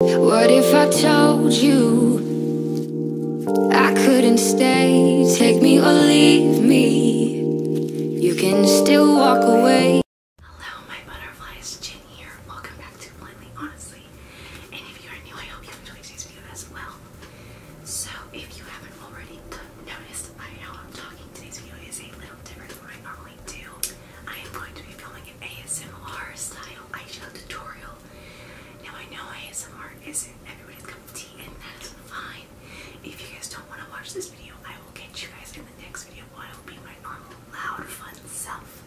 What if I told you I couldn't stay? Take me or leave me. You can still walk away. Hello, my butterflies. Jin here. Welcome back to Blindly Honestly. And if you are new, I hope you enjoyed today's video as well. So, if you haven't already noticed by now, I'm talking today's video is a little different from I normally do. I am going to be filming an ASMR style eyeshadow tutorial. Now I know ASMR isn't everybody's cup of tea and that is fine. If you guys don't want to watch this video, I will catch you guys in the next video where I will be my normal loud fun self.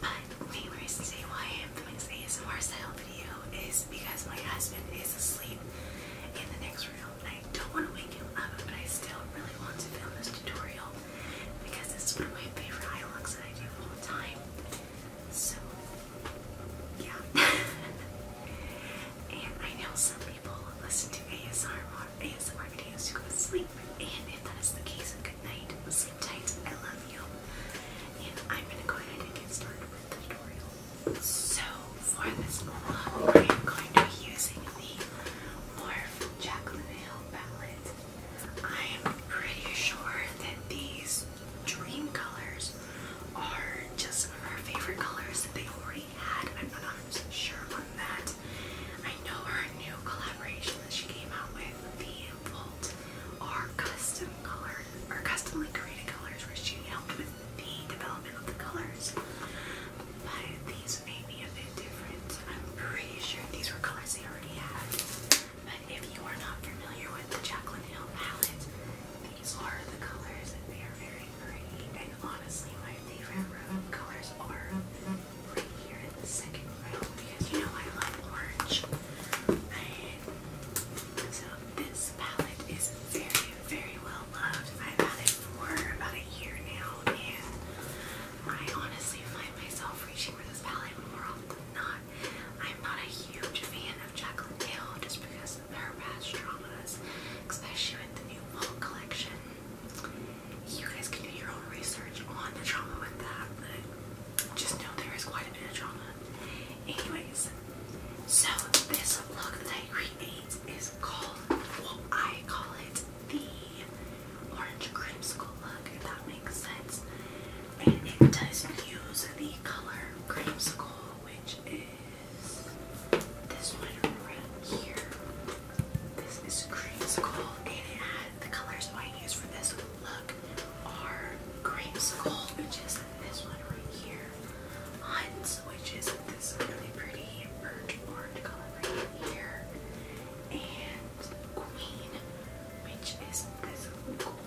But the reason today why I am filming this ASMR style video is because my husband is asleep in the next room. and I don't want to wake him up, but I still really want to film this tutorial because it's one of my favorite eye looks that I do all the time. So, yeah. and I know some people listen to ASR ASMR videos to go to sleep, and if that is the case, good night, sleep tight, I love you. And I'm gonna get started with the tutorial. So, for this look, I am going to be using the Morphe Jacqueline Hill palette. I'm pretty sure that these dream colors are just some of our favorite colors that they already had. I'm not sure on that. I know her new collaboration that she came out with, the Volt, are custom colors, or customly created colors where she helped with the development of the colors. But these I'm pretty sure these were colors they already had. But if you are not familiar with the Jacqueline Hill palette, these are the colors. They are very pretty. And honestly, my favorite room colors are right here in the second row because you know I love orange. so this palette is very, very well loved. I've had it for about a year now and I honestly find myself reaching for this palette more often than not. I'm not a huge fan of Jacqueline Dale just because of her past traumas, especially with the new Vault collection. You guys can do your own research on the trauma with that, but just know there is quite a bit of trauma. Anyways, so this look that I create is called, what I call it the orange creamsicle look, if that makes sense. And it does use the color creamsicle, which is this one right here. This is creamsicle, and the colors I use for this look are creamsicle, which is this one right here, Hunt's, which is this really pretty burnt orange color right here, and Queen, which is this gold,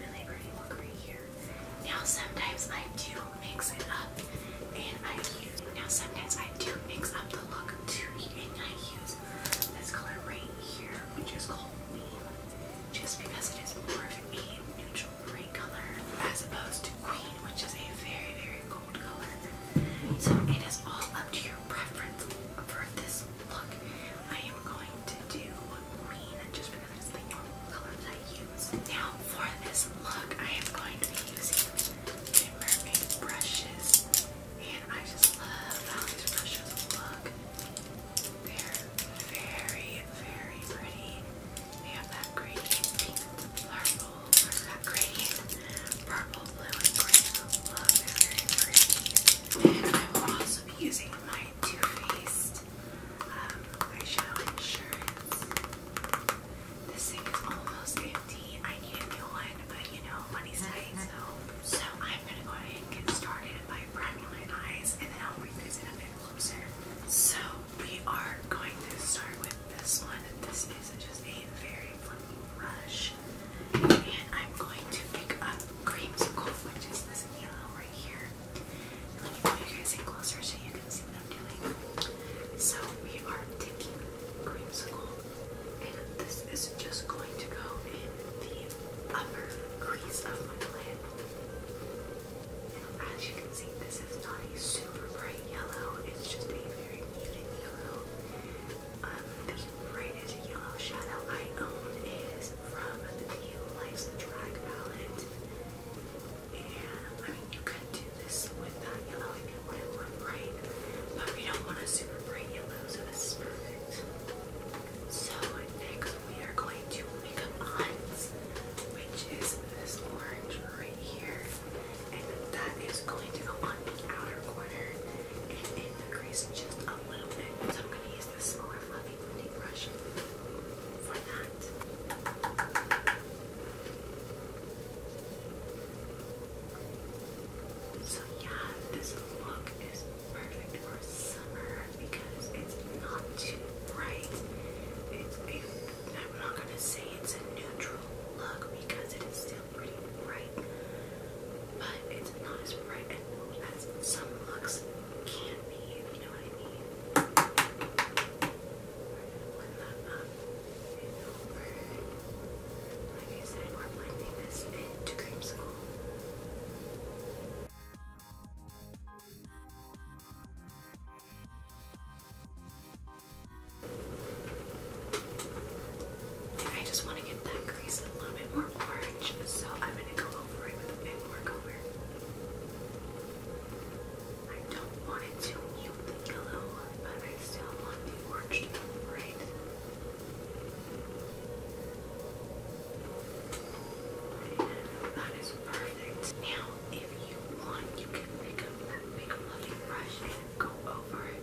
really pretty look right here. Now sometimes I do mix it up and I use now sometimes I do mix up the look too and I use this color right here, which is called Queen, just because it is more of a neutral gray color as opposed to Queen, which is a very, very so it is all up to your preference for this look. I am going to do green just because the normal color I use. Now for this look, I am going to be using the mermaid brushes. And I just love how these brushes look. They're very, very pretty. They have that gradient pink purple, that gradient purple I will also be using my Too Faced um, eyeshadow insurance. This thing is almost empty. I need a new one, but you know, money's tight, so. So I'm gonna go ahead and get started by priming my eyes, and then I'll bring this in a bit closer. So we are going to start with this one. This is just a very very And I'm going to pick up creamsicle, which is this yellow right here. let me pull you guys in closer so you can see what doing. So we are taking creamsicle, and this is just going to go in the upper crease of my lid. And as you can see, this is not a super bright yellow, it's just a very muted yellow. Um, the brightest yellow shadow I own is from the Lights Drag palette. And I mean, you could do this with that yellow if you wanted one bright, but we don't want a super bright yellow, so this perfect. So, next we are going to makeup ons, which is this orange right here that is going to go on the outer corner and in just a little bit. So I'm going to use this smaller fluffy blending brush for that. So yeah, this look is perfect for summer because it's not too bright. It's a, I'm not gonna say it's a neutral look because it is still so pretty bright, but it's not as bright as some looks can be, if you know what I mean. we that up and over. Like I said, we're blending this into creamsicle. Alright, I just want to get that crease a little bit more orange, so I'm going to go over it with a bit more color. I don't want it to mute yellow, but I still want the orange to that is perfect. Now, if you want, you can pick up that big fluffy brush and go over it.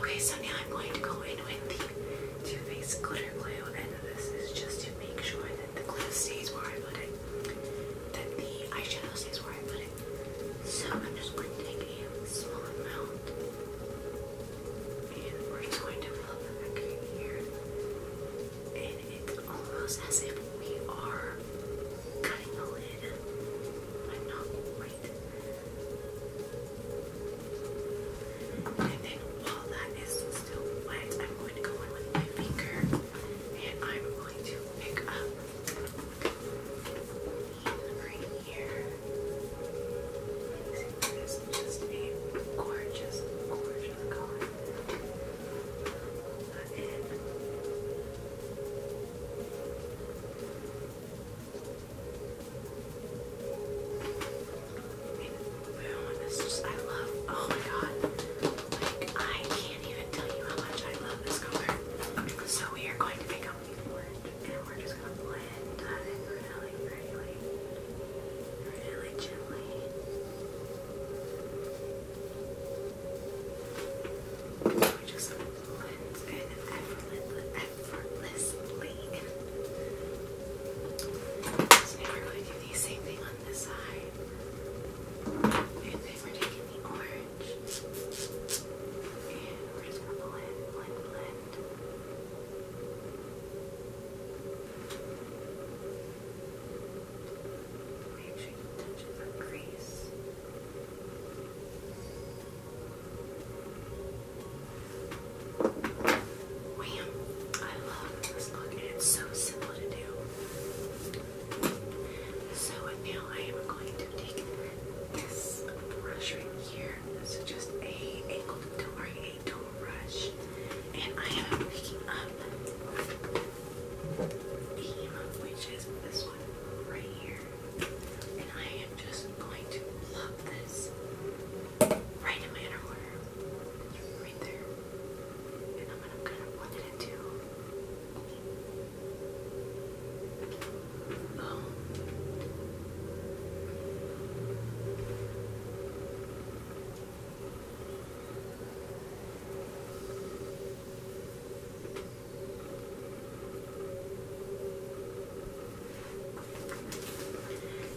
Okay, so now I'm going to go in with the Too Faced Glitter Glue, and this is just to make sure that the glue stays where I put it, that the eyeshadow stays where I put it. So I'm just going to take a small amount, and we're just going to flip it back in here, and it's almost as if we are cutting the lid, but not quite. And then while that is still wet, I'm going to go in with my finger and I'm going to pick up these right here. this is just a gorgeous, gorgeous color. That in. I love, oh my god. Like, I can't even tell you how much I love this color. So, we are going to pick up the orange and we're just going to blend that really, really, really gently we just cleanse effortlessly. So now we going to do the same thing on this side. And then we're taking the orange. And we're just going to blend, Make sure you touch the crease. And Wham! I love this look and it's so simple to do. So now I am going to take this brush right here. This is just a angled tool or a tool brush. And I am picking up which is this one right here. And I am just going to plop this right in my inner corner. Right there. And I'm gonna kind it into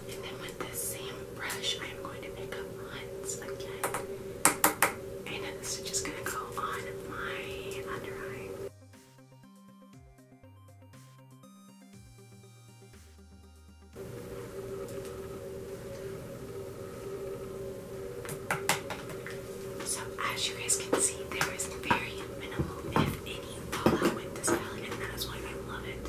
and then with this same brush, I'm going to pick up Hunt's again. And this is just going to go on my under eye. So as you guys can see, there is very minimal, if any, fallout with this palette, and that's why I love it.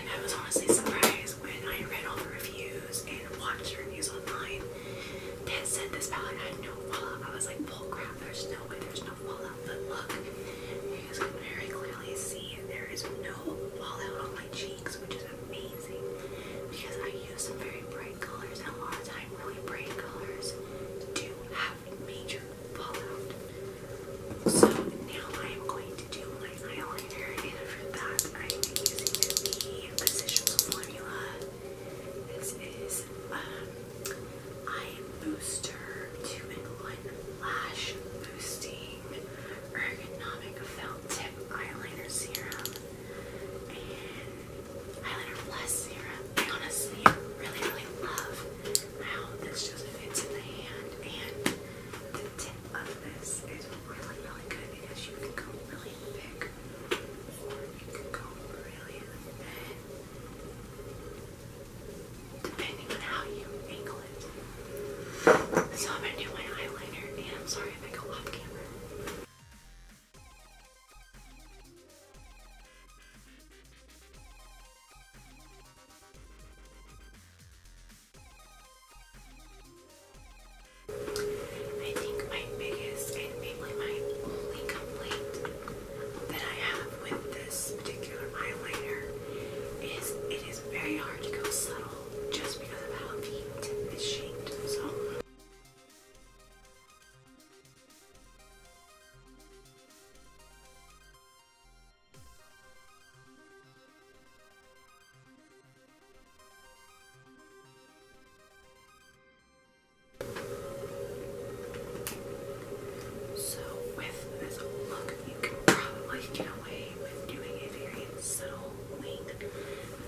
And I was honestly surprised when I read all the reviews and watched the reviews online that said this palette had no fallout. I was like, bull grab, there's no way there's no fallout. But look, you guys can very clearly see there is no fallout cheeks, which is amazing because I use some very bright colors, and a lot of time really bright colors do have major fallout. So now I am going to do my eyeliner, and for that I am using the Physicians Formula. This is um, Eye Booster 2 in Lash Boosting Ergonomic Felt Tip Eyeliner Serum Eyeliner Plus Serum. I honestly really, really love how this just fits in the hand, and the tip of this is really, really good because you can go really thick you can go really thin. So I'm going to do my eyeliner, and I'm sorry if I go off camera. I think my biggest and mainly my only complaint that I have with this particular eyeliner is it is very hard to go subtle just because of how the tip is shaped. So. with this look, you can probably get away with doing a very subtle wing. But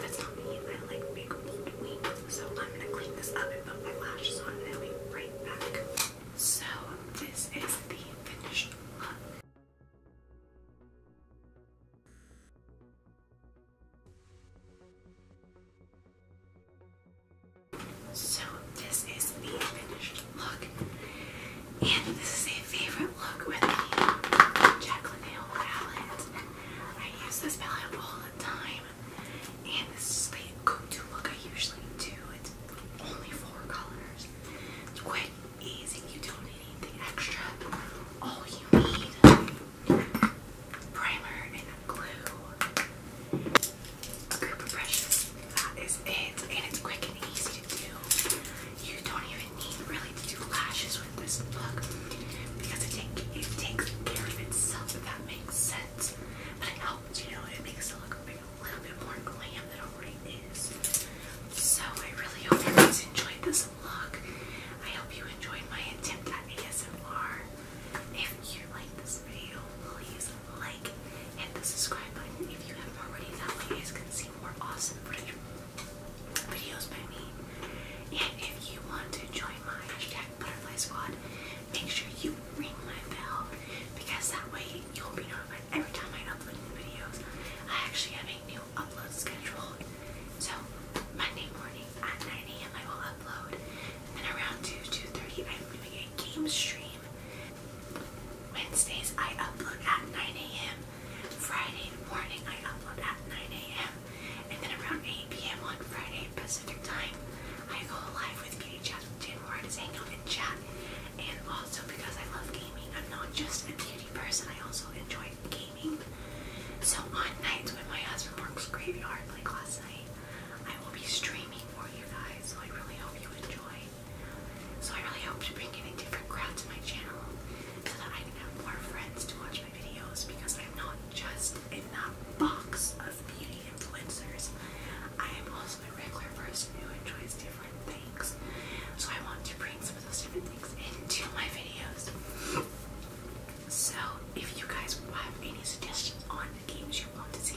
that's not me. I like big bold wings. So I'm gonna clean this up and put my lash on and i back. So this is the finished look. So this is the finished look. And this is a favorite look with the Jacqueline Hill palette. I use this palette all the time. And this is the go-to look I usually do. It's only four colors. It's quite easy. You don't need anything extra. All you need primer and glue, a group of brushes, that is it. And it's quick and easy to do. You don't even need really to do lashes with this look because it, take, it takes care of itself, if that makes sense. But it helps, you know, it makes it look a, bit, a little bit more glam than it already is. So I really hope you guys enjoyed this look. I hope you enjoyed my attempt at ASMR. If you like this video, please like hit the subscribe button if you haven't already. That way you guys can see more awesome videos by me. And if you want to join my hashtag butterfly squad, make sure you ring my bell because that way you'll be notified every time I upload a new video. I actually have a new upload schedule. So Monday morning at 9 a.m. I will upload. And around 2, 2.30 I'm doing a game stream. Wednesdays I upload at 9 a.m. Friday morning I upload at 9 a.m. And then around 8 p.m. on Friday Pacific time, I go live with Beauty Chat with Jen where just hang out and chat. And also because I love gaming, I'm not just a beauty person, I also enjoy gaming. So on nights when my husband works graveyard like last night, I will be streaming for you guys. So I really hope you enjoy. So I really hope to bring in different crowds to my channel so that I can have more friends to watch my videos because I'm not just in that box of beauty influencers. I am also a regular person who enjoys different things. So I want to bring some of those different things into my videos. So if you guys have any suggestions on the games you want to see